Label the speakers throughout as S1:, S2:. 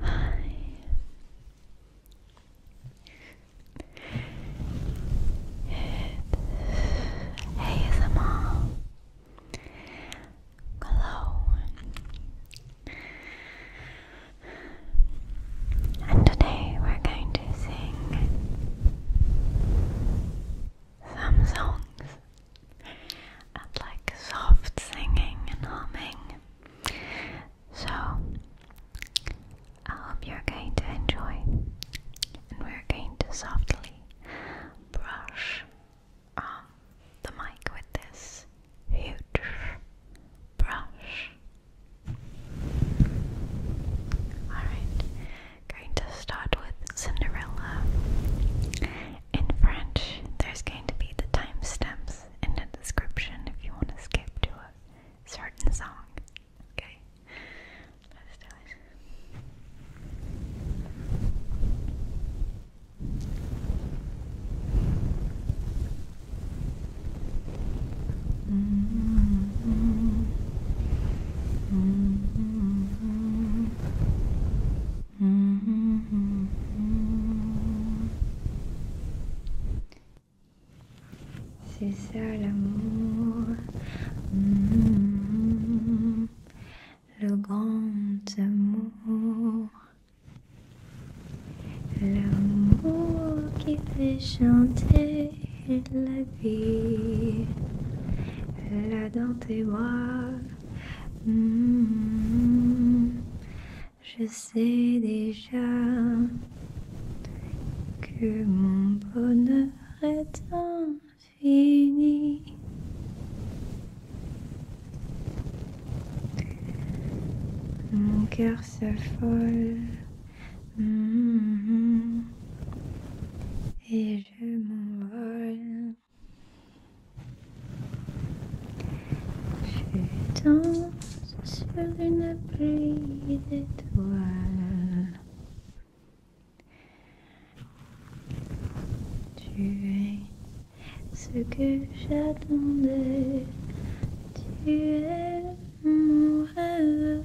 S1: Hi. It's ASMR. Hello. And today we're going to sing some songs and like soft singing and humming. So, I hope you're going to enjoy, and we're going to softly brush um, the mic with this huge brush. Alright, going to start with Cinderella. In French, there's going to be the timestamps in the description if you want to skip to a certain song. Okay, let's do it.
S2: Mm-hmm. Mm-hmm. Mm-hmm.
S1: C'est ça l'amour. le grand amour. L'amour qui fait chanter la la là dans tes hmm. je sais déjà que mon bonheur est infini. Mon cœur se hmm. et et je m'envole. Je danse sur une pluie d'étoiles. Tu es ce que j'attendais. Tu es mon rêve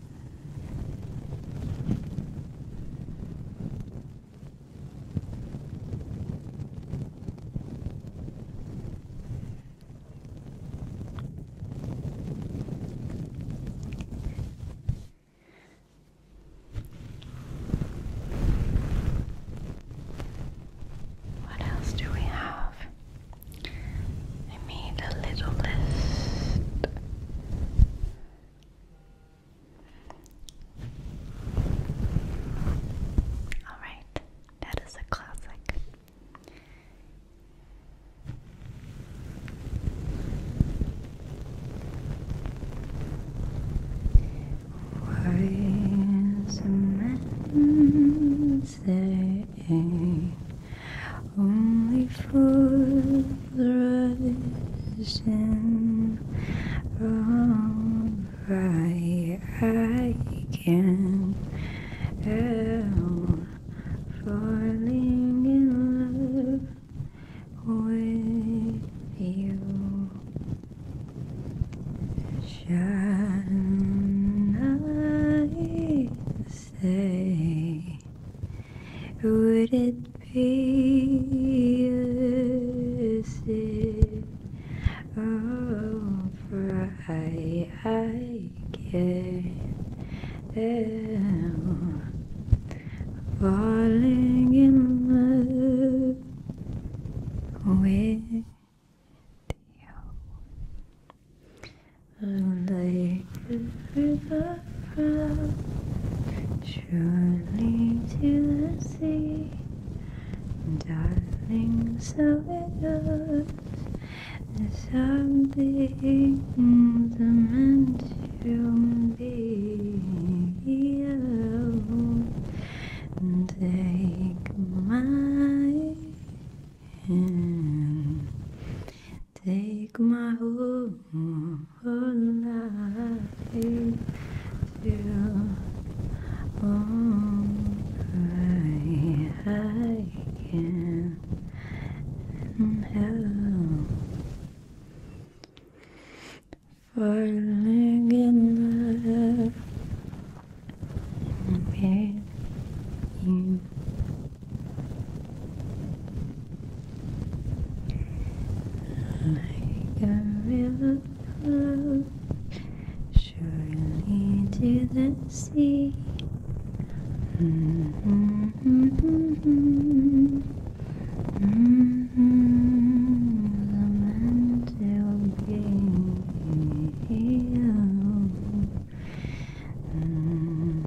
S1: What else do we have? I made a little list. Alright, that is a classic. Why is a man saying only for the reason of right I can help falling in love with you. Shine say? Would it be a Oh, for I, I can tell falling in love with you. And I river from surely to the sea, darling. So it goes. Some things are meant to be. And take my hand. Take my whole, whole life till only I can help falling in love with you. Like a river flows surely to the sea. Mm -hmm, mm -hmm, mm -hmm, the man will be mm -hmm,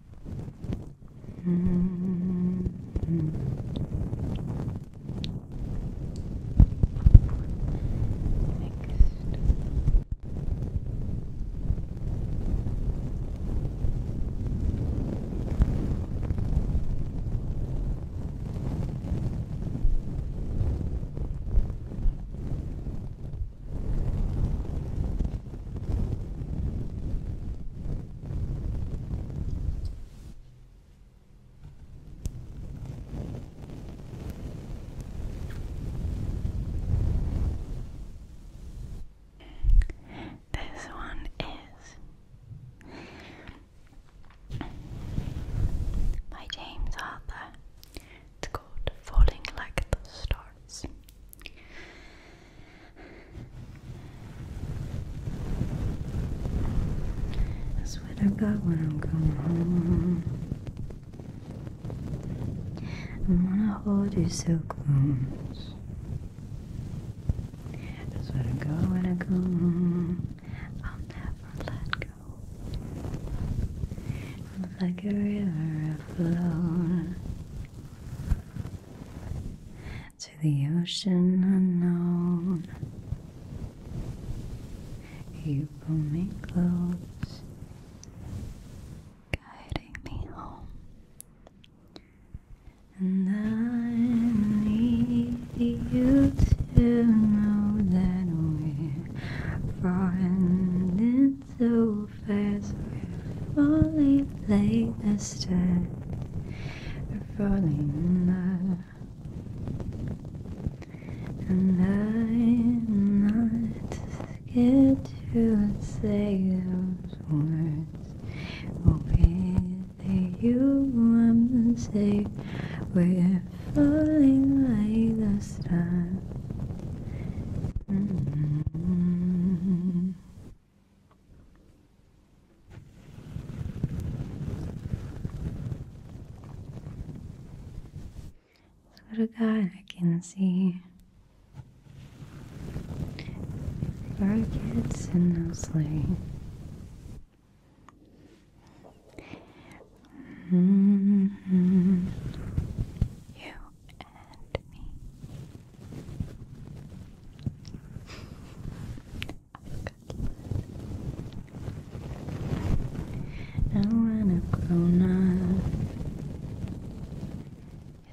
S1: Mm -hmm. Next. This one is by James Arthur. It's called Falling Like the Stars. That's what I got when I'm going home. I wanna hold you so
S2: close.
S1: That's what I got when I go home. I'll never let go. Like a river afloat to the ocean unknown. You pull me close, guiding me home. And I need you to know that we're friends so fast We're falling like the stars We're falling in love And I'm not scared to say those words We'll you want to say We're falling like the stars mm-hmm. Swear to God, I can see rockets in those sleep. -hmm. You and me. I want to grown up.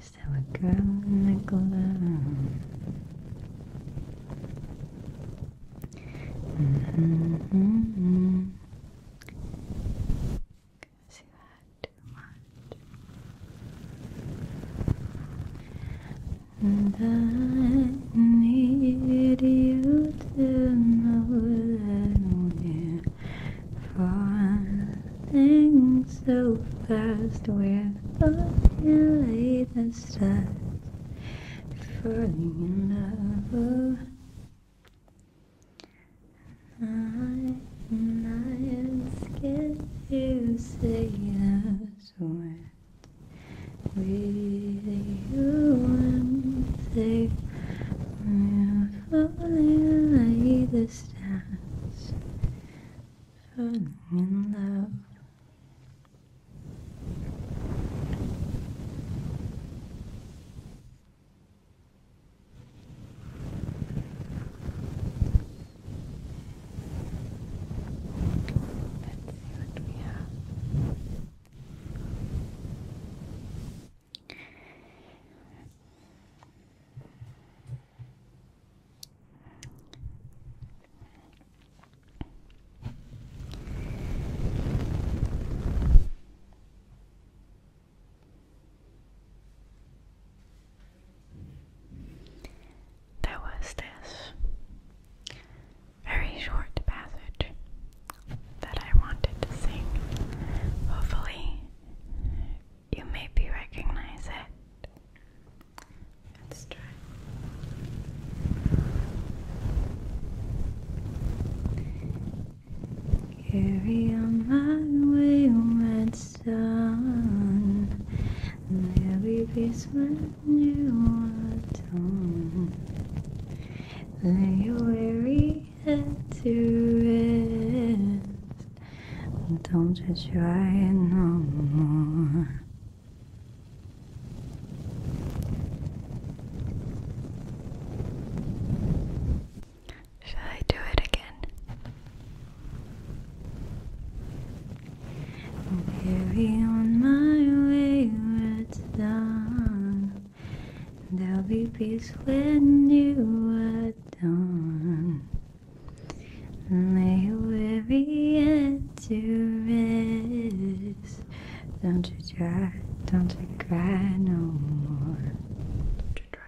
S1: Is there a girl in the glove? -hmm. And I need you to know that we're falling so fast. We're only the stars falling in love. I am not scared to say a word. With you, I'm safe. We're falling like the stars, falling in love what we have. Okay. There was this very short passage that I wanted to sing. Hopefully, you maybe recognize it. Let's try. Carry on my way, sun. There is when you are done. Lay your weary head to rest. Don't just try it no more. Shall I do it again? Maybe on my way where it's done. There'll be peace when you are done. Lay weary and to rest. Don't you cry? don't you cry no more. Don't you try,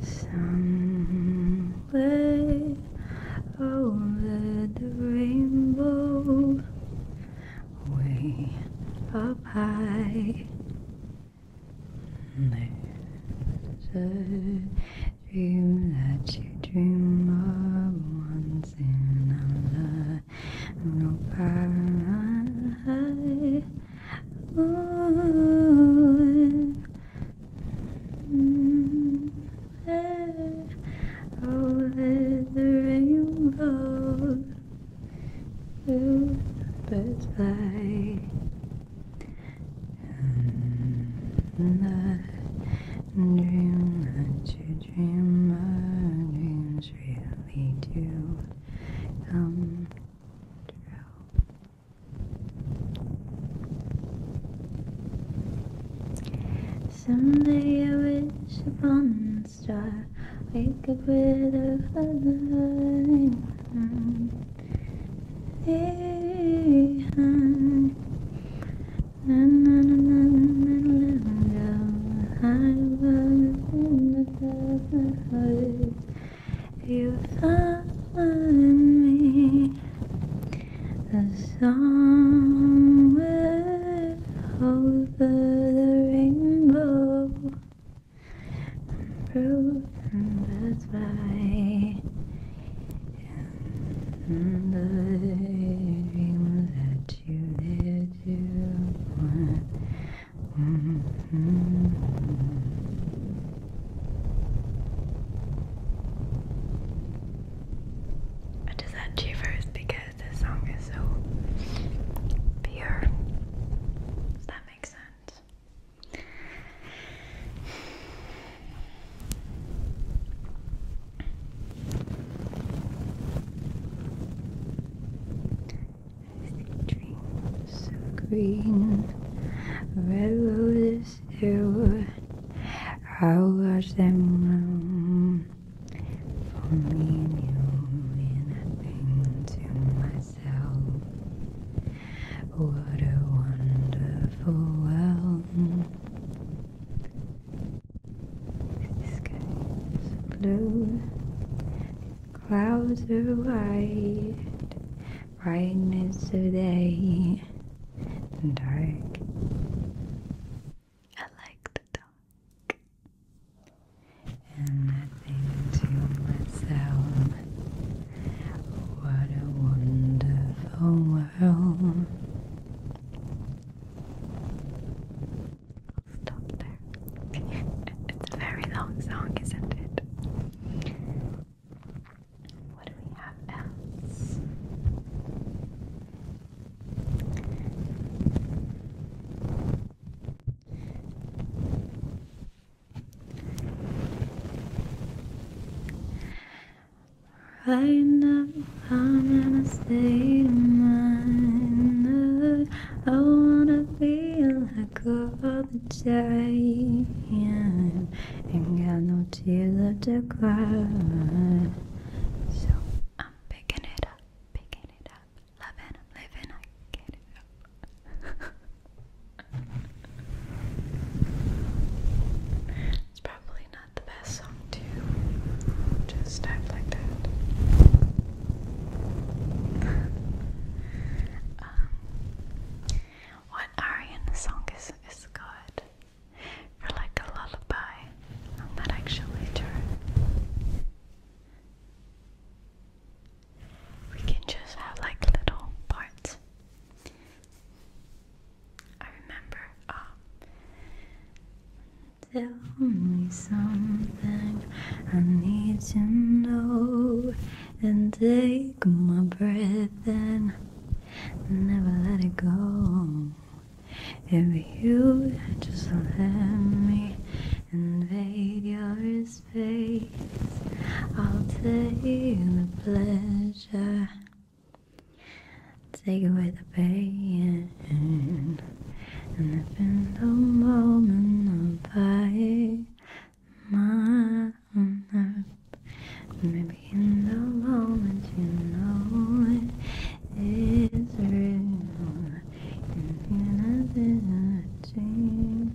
S1: Somewhere over the rainbow, way up high, there's a dream that you dream of once in a lifetime. Over the rainbow, birds fly, and I dream that you dream my dreams really do come true. Someday I wish upon a star, wake up with a feather. Hey, na na na na na na na I was in the you found me somewhere over the rainbow. Broken birds fly, and the dreams that you did you want. Mm-hmm. I just had first because the song is so pure. Does that make sense? Sweet dreams of green, red roses too. I watch them bloom for me and you, and to myself, what a wonderful world. The sky blue, Clouds are white, brightness of day, and dark. I like the dark. And I think to myself, what a wonderful world top there. it's a very long song, isn't it? What do we have else? Right now, I'm in a state of mind. I wanna feel like all the Ain't got no tears left to cry. So I'm picking it up, picking it up. Loving, I'm living, it up. it's probably not the best song to just act like that. what aria song is is good for like a lullaby? not actually sure. We can just have like little parts. I remember. Um, something I need to know. And take my breath in, never let it go. If you just let me invade your space, I'll take the pleasure, take away the pain and the moment by my own Maybe in the moment you know it is real. Infinite energy,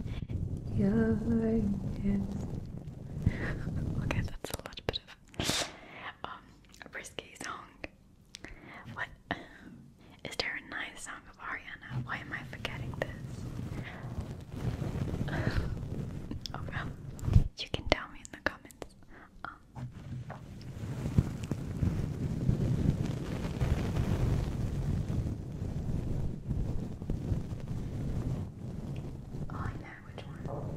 S1: you're just. okay, that's a little bit of um, a risky song. What Is there a nice song of Ariana? Why am I forgetting this? oh you can tell me in the comments. Um, oh, I know which one. Oh,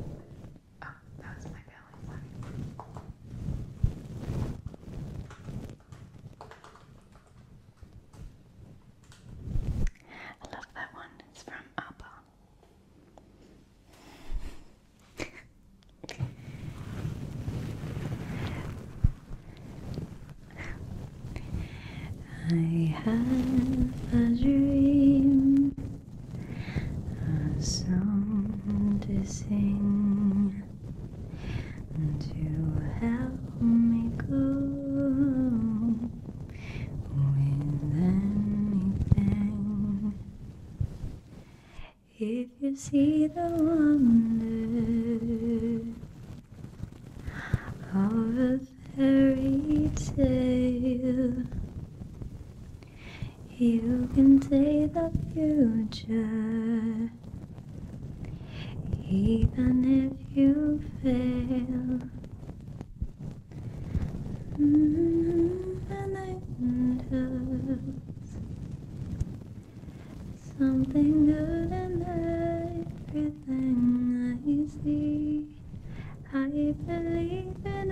S1: that was my belly I love that one. It's from Abba. I have a dream, a song to sing to help me go with anything. If you see the wonder of a fairy tale, you can take the future even if you fail. Mm, and something good in everything I see. I believe in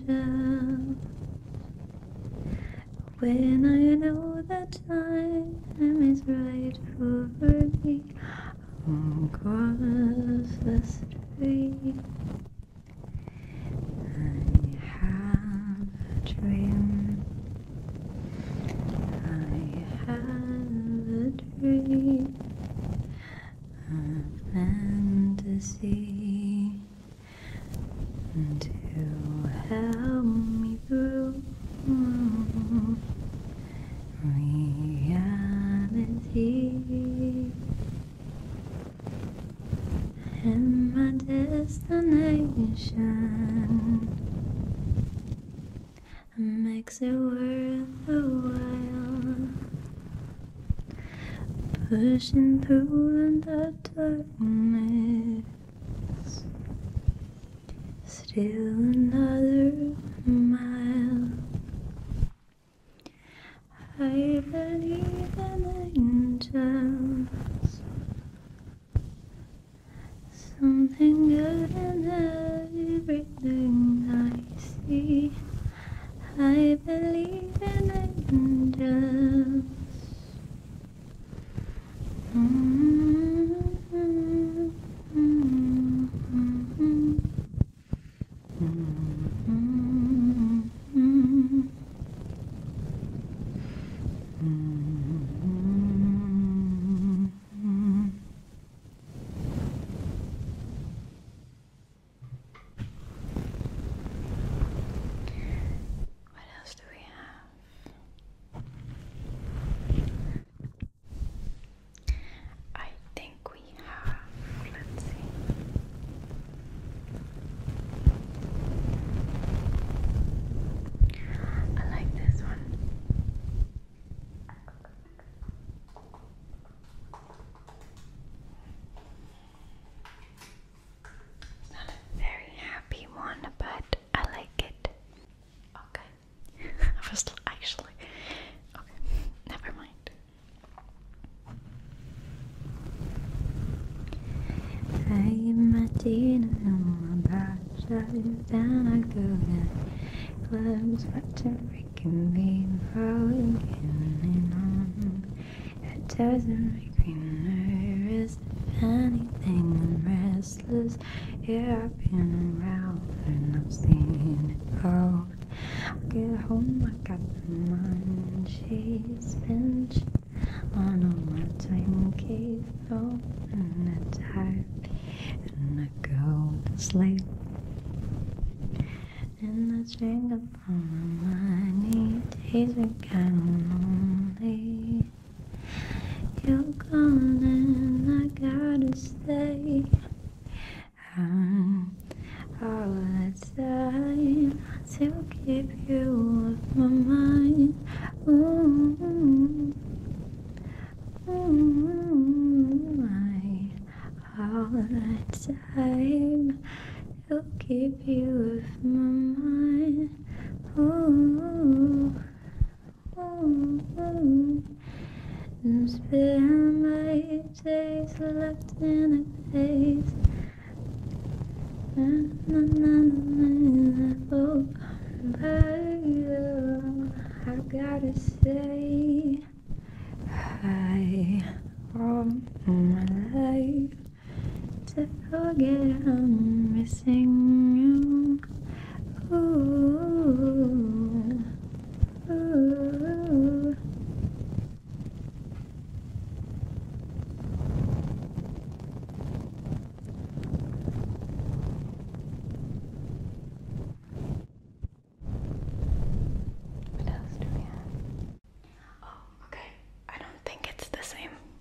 S1: angels. When I know that time is right for me, I'll cross the street. I have a dream. I have a dream. I'm A fantasy to help me me through oh, reality and my destination makes it worth the while pushing through in the darkness Still another mile. I believe in angels. Something good in everything I see. I believe in angels.
S2: What else do we have? I think we
S1: have, let's see. I like this one. not a very happy one, but it. I like it. Okay. I was actually. Okay. Never mind. I didn't know about starting down a good clubs, but to freaking be broken on. It doesn't make me nervous if anything yeah, I've been around and i have seen it all. I get home, I got the mind. She's bench on all my time cave and I time. And I go to sleep. And I drink up all my money, days are kind of lonely. You're gone and I gotta stay. I'm all the time to keep you off my mind. Ooh, ooh, I all the time to keep you off my mind. Ooh. And spare my days left in a face. And I will come back. I gotta say hi all my life to forget I'm missing you. What else do we have? Oh, okay. I don't think it's the same.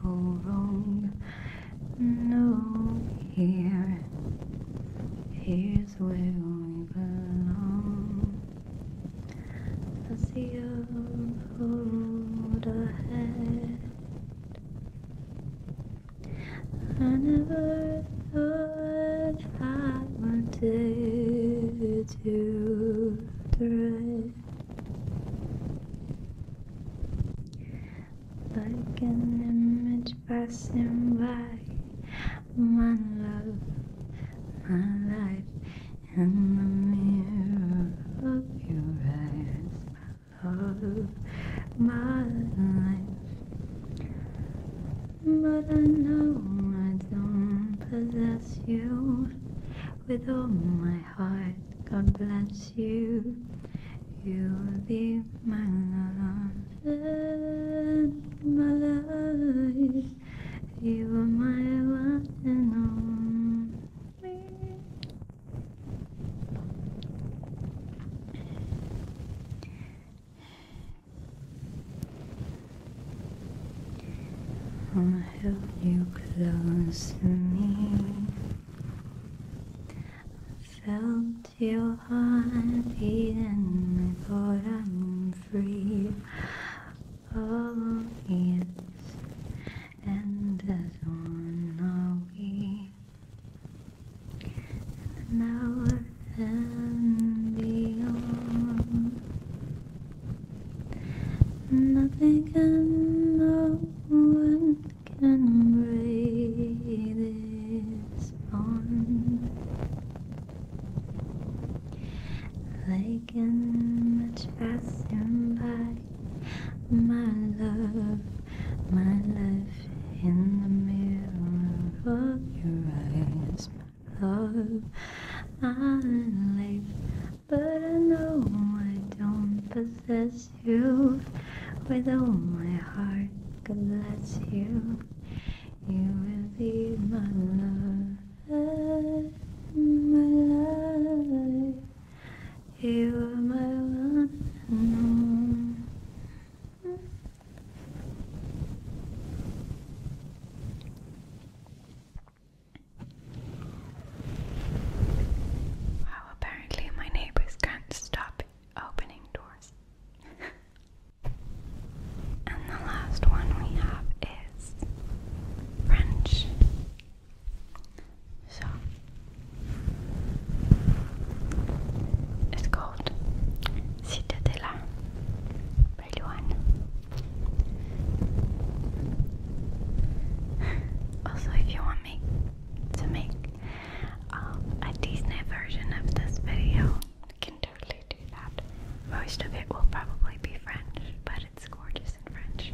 S1: so long no here here's where we belong I see a road ahead I never thought I wanted to thread like an image passing by, my love, my life in the mirror of your eyes, my love, my life. But I know I don't possess you with all my heart. God bless you. You'll be mine alone in my love. You are my one and only. I'll hold you close to me. I felt your heart and I thought I'm free. Oh yes, and as one are we. now and beyond. Nothing and no one can break this bond. They can much pass by, my love, my love. In the mirror of your eyes, my love, I live but I know I don't possess you with all my heart. God bless you, you will be my love, my love. You are my one and all. Wow, apparently my neighbors can't stop opening doors. and the last one we have is French. So it's called Citadella by Luan. Also, if you want me to make um, a Disney version of this video, can totally do that. Most of it will probably be French, but it's gorgeous in French.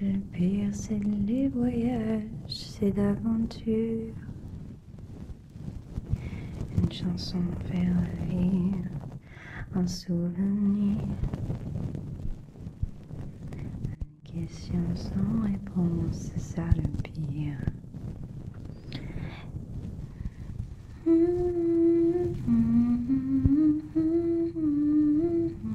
S1: Le pire, c'est les voyages, c'est l'aventure Une chanson fait rire. un souvenir. Une question sans réponse, c'est ça le pire. Hmm, hmm, hmm,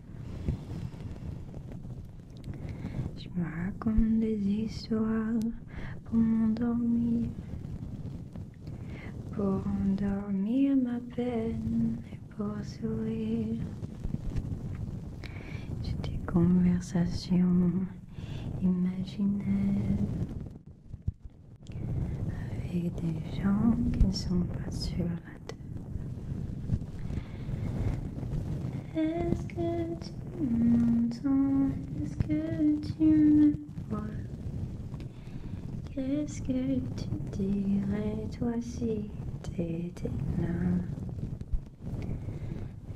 S1: Je me raconte des histoires pour m'endormir, pour endormir ma peine et pour sourire. J'ai des conversations imaginaires avec des gens qui ne sont pas sûrs. Est-ce que tu m'entends Est-ce que tu me vois Qu'est-ce que tu dirais toi si t'étais là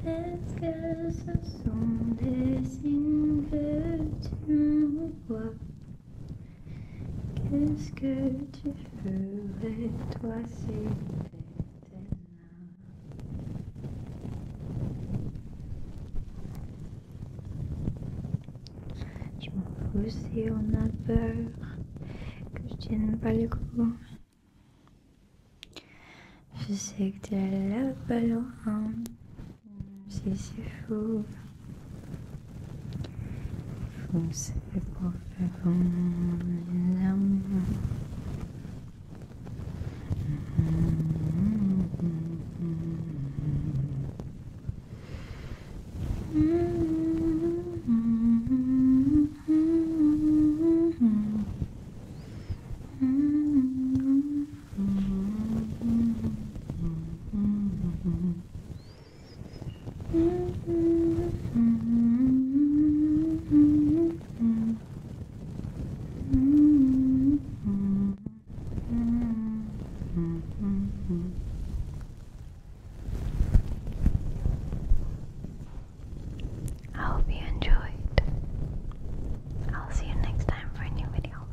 S1: Est-ce que ce sont des signes que tu me vois Qu'est-ce que tu ferais toi si tu m'en fous si on a peur que je tienne pas le coup. Je sais que t'es là pas loin, si c'est fou. Você pode convidar Mm -hmm.
S2: I hope you enjoyed. I'll see you next time for a new video.